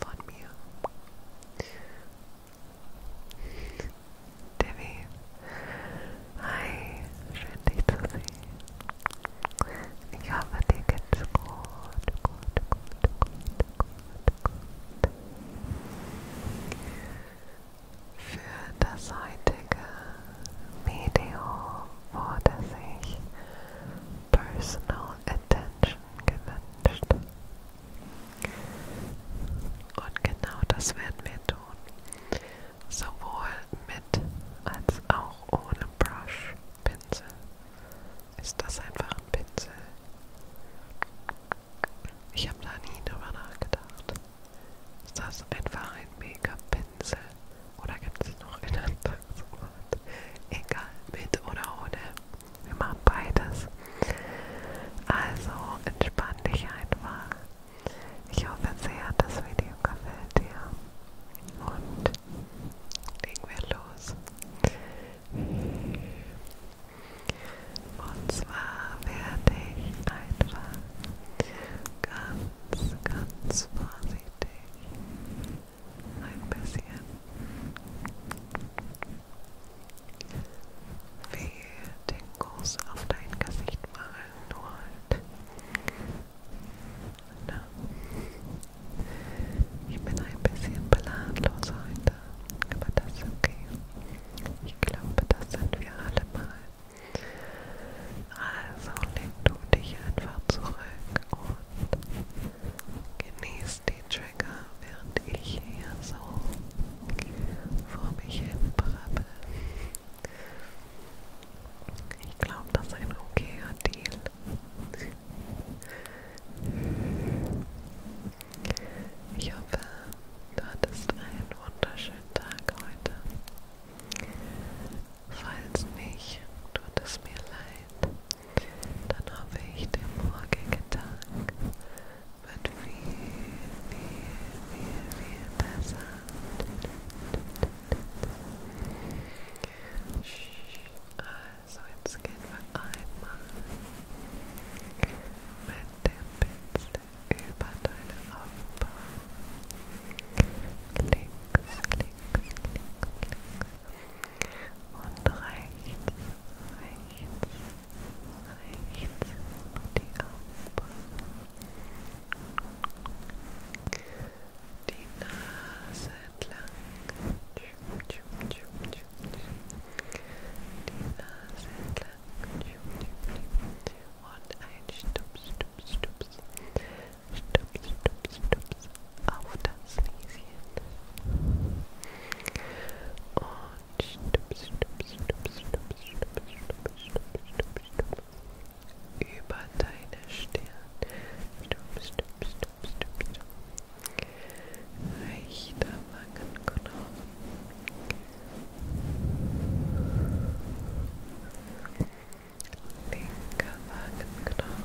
von mir. Debbie, hi, schön dich zu sehen. Ich hoffe, dir geht's gut, gut, gut, gut, gut, gut. Für das heutige Video wurde sich Personal Attention gewünscht. Und genau das werden wir tun. Sowohl mit als auch ohne Brush Pinsel. Ist das einfach ein Pinsel? Ich habe da nie drüber nachgedacht. Ist das einfach ein Make-up-Pinsel? Oder gibt es noch ein anderes Wort? Egal, mit oder ohne. Wir machen beides. Also entspann dich einfach. Ich hoffe sehr, das Video gefällt dir. Und legen wir los. Und zwar werde ich einfach ganz, ganz vorsichtig ein bisschen wie den Kuss auf dein Gesicht machen, nur halt. Na. Ich bin ein bisschen planlos heute, aber das ist okay. Ich glaube, das sind wir alle mal. Also leg du dich einfach zurück und genieß SD-Tracker, während ich hier so vor mich hin brabbel. Ich glaube, das ist ein okayer Deal. Ich hoffe, du hattest einen wunderschönen Tag heute. Falls nicht, tut es mir leid dann hoffe ich, der morgige Tag wird viel, viel, viel, viel besser. Also jetzt gehen wir einmal mit dem Pinsel über deine Augenbrauen. Links, links, links, links. und rechts, rechts, rechts die Augenbrauen, die Nase die Nase und ein Stups, Stups, Stups, Stups, Stups, Stups. auf das Lieschen. Und stup, stup, stup, stup, stup, stup, stup, stup, stup. Über deine Stirn. Stup, stup, stup, stup, stup. Rechter Wangenknochen. Linker Wangenknochen.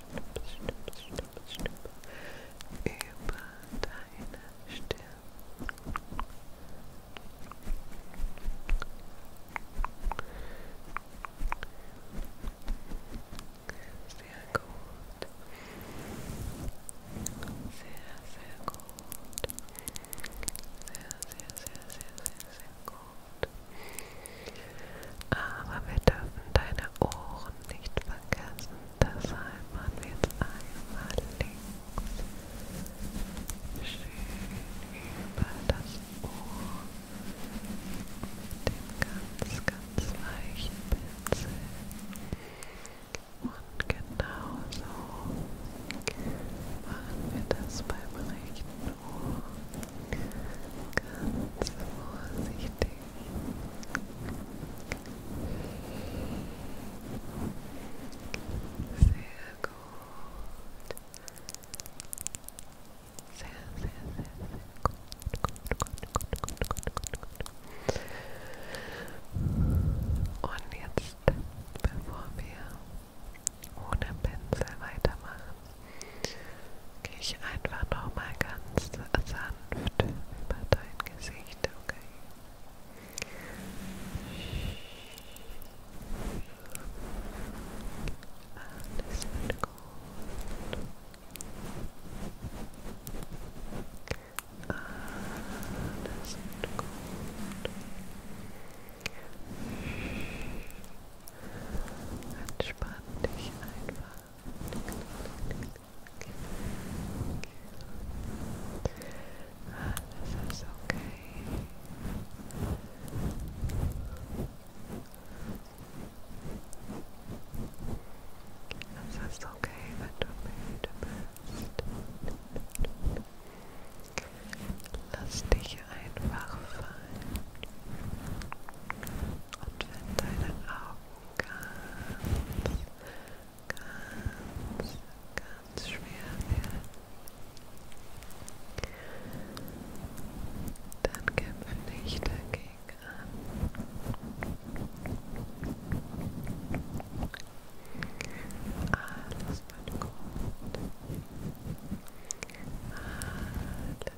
Stipp, über deine Stirn. Sehr gut. Sehr, sehr gut. Aber wir dürfen deine Ohren nicht vergessen, deshalb machen wir jetzt einmal links schön über das Ohr mit dem ganz, ganz weichen Pinsel und genauso machen wir das beim rechten Ohr ganz vorsichtig sehr gut. Sehr, sehr, sehr, sehr gut. Gut, gut, gut, gut, gut, gut, gut. Und jetzt, bevor wir ohne Pinsel weitermachen, Gehe ich einfach nochmal ganz sanft über dein Gesicht, okay? Alles wird gut. Alles wird gut. Entspann dich einfach. Alles ist okay. Es ist okay, wenn du müde bist. Lass dich einfach fallen. Und wenn deine Augen ganz, ganz, ganz schwer werden. Dann kämpfe nicht dagegen an. Alles wird gut. Alles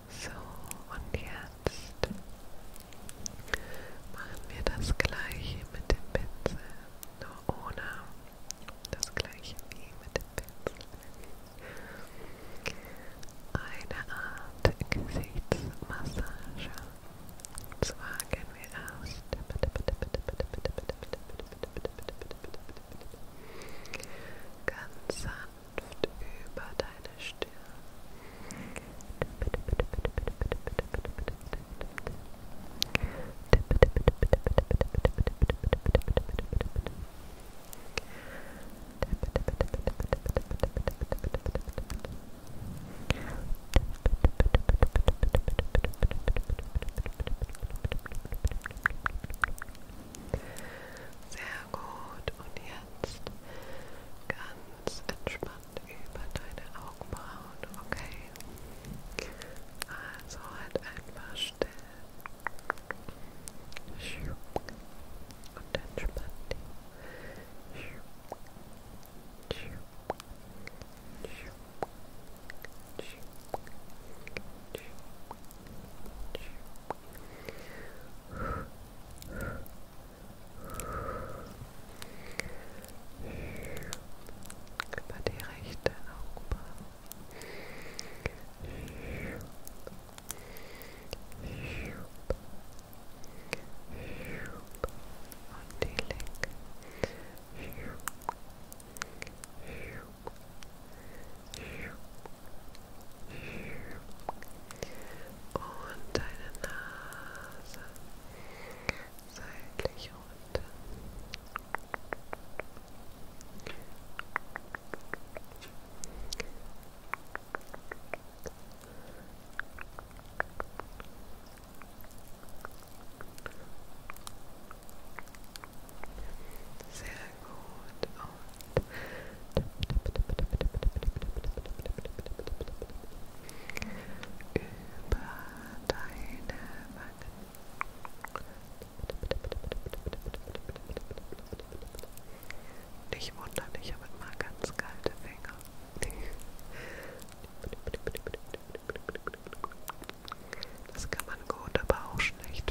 So, und jetzt machen wir das gleiche mit dem Pinsel, nur ohne das gleiche wie mit dem Pinsel. Eine Art Gesichtsmassage. Und zwar gehen wir erst ganz sanft sanft über deine Stirn. Sehr gut. Und jetzt ganz entspannt über deine Augenbrauen, okay? Also halt einfach still. Und entspann dich. Gut. Über die rechte Augenbraue. Und die linke. Und deine seitlich runter. Sehr gut. Über deine Wangen. Nicht wundern, ich habe immer ganz kalte Finger. Das kann man gut, aber auch schlecht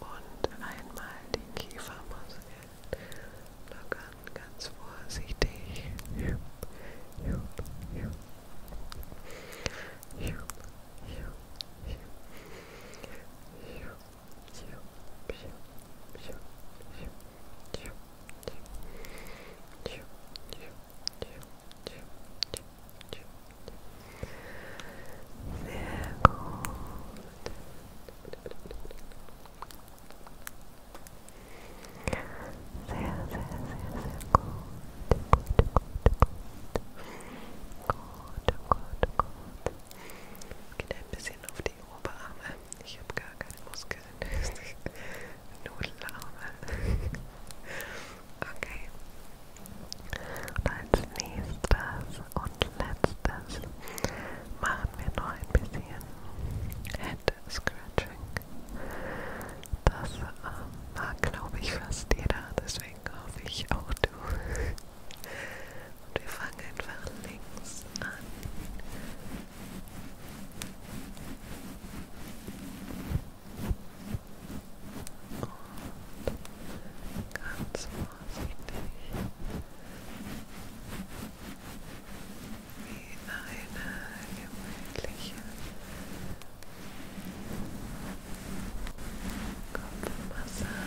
Und einmal den Kiefermuskel lockern, ganz vorsichtig gut. Geht ein bisschen auf die Oberarme. Ich habe gar keine Muskeln. Nudelauge. okay. Und als nächstes und letztes machen wir noch ein bisschen Head Scratching. Das ähm, mag, glaube ich, fast jeder, deswegen hoffe ich auch du. Und wir fangen einfach links an und ganz vorsichtig wie eine gemütliche Kopfmassage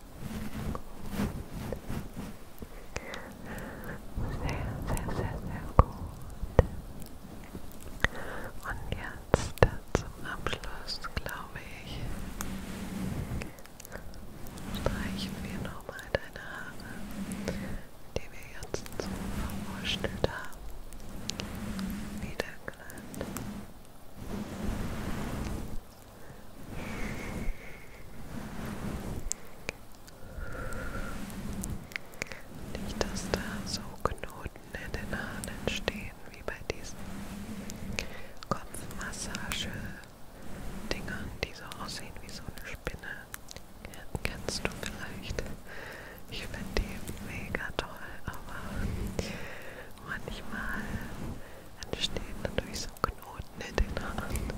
gut. Sehr, sehr, sehr, sehr gut. Und jetzt zum Abschluss, glaube ich, streichen wir nochmal deine Haare, die wir jetzt so verwurschtelt haben, wieder glatt. Nicht, dass da so Knoten in den Haaren entstehen wie bei diesen Kopfmassage-Dingern, die so aussehen wie so eine Spinne. Kennst du vielleicht? Ich finde die mega toll, aber manchmal entsteht natürlich so ein Knoten in den Haaren,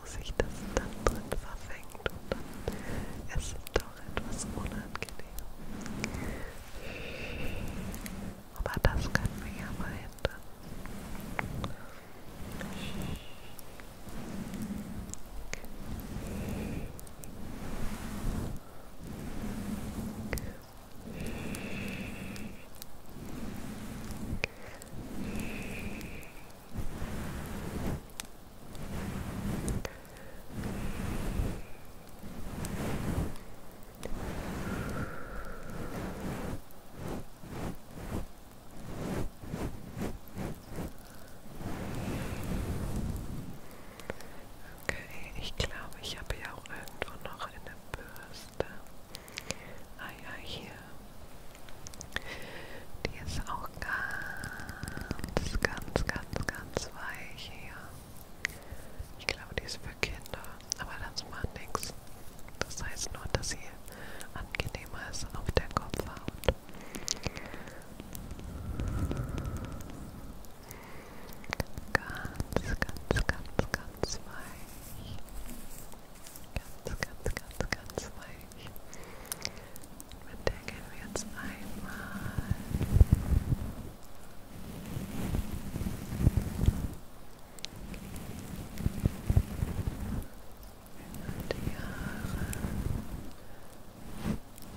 wo sich das dann drin verfängt und dann ist es doch etwas unangenehm. Aber das können wir ja mal hindern. Okay. Okay, ich glaube, ich habe ja auch irgendwo noch eine Bürste. Ah ja, hier. Die ist auch ganz, ganz, ganz, ganz weich hier. Ich glaube, die ist für Kinder, aber das macht nichts. Das heißt nur, dass sie angenehmer ist auf der Kopfhaut. Ganz, ganz, ganz, ganz weich. Ganz, ganz, ganz, ganz weich. Mit der gehen wir jetzt einmal über die Haare. Und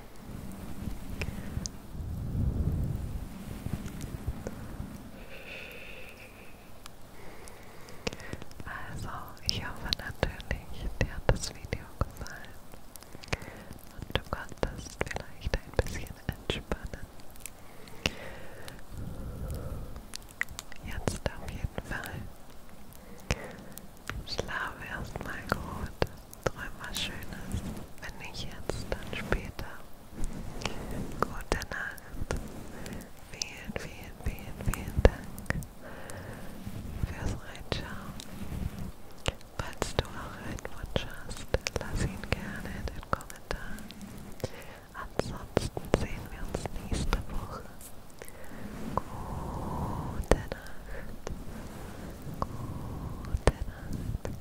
Also, ich hoffe natürlich, dir hat das Video gefallen und du konntest vielleicht ein bisschen entspannen. Jetzt auf jeden Fall. Schlafe erstmal gut. Träum was Schönes. Wenn nicht jetzt, dann später. Gute Nacht. Vielen, vielen, vielen, vielen Dank fürs Reinschauen. Falls du auch einen Wunsch hast, lass ihn gerne in den Kommentaren. Ansonsten sehen wir uns nächste Woche. Gute Nacht. Gute Nacht.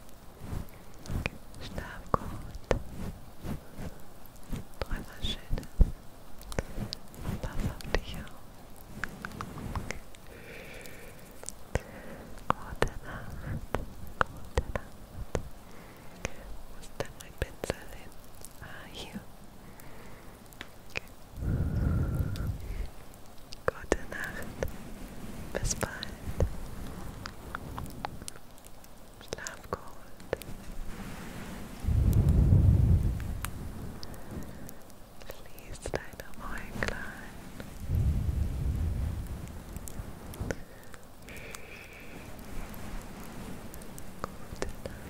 Schlaf gut. Träum was Schönes. Pass auf dich auf. Gute Nacht. Gute Nacht. Wo ist denn mein Pinsel hin? Ah, hier. Okay. Gute Nacht. Bis bald. Schlaf gut. Schließ deine Äuglein. Gute Nacht. Gute Nacht.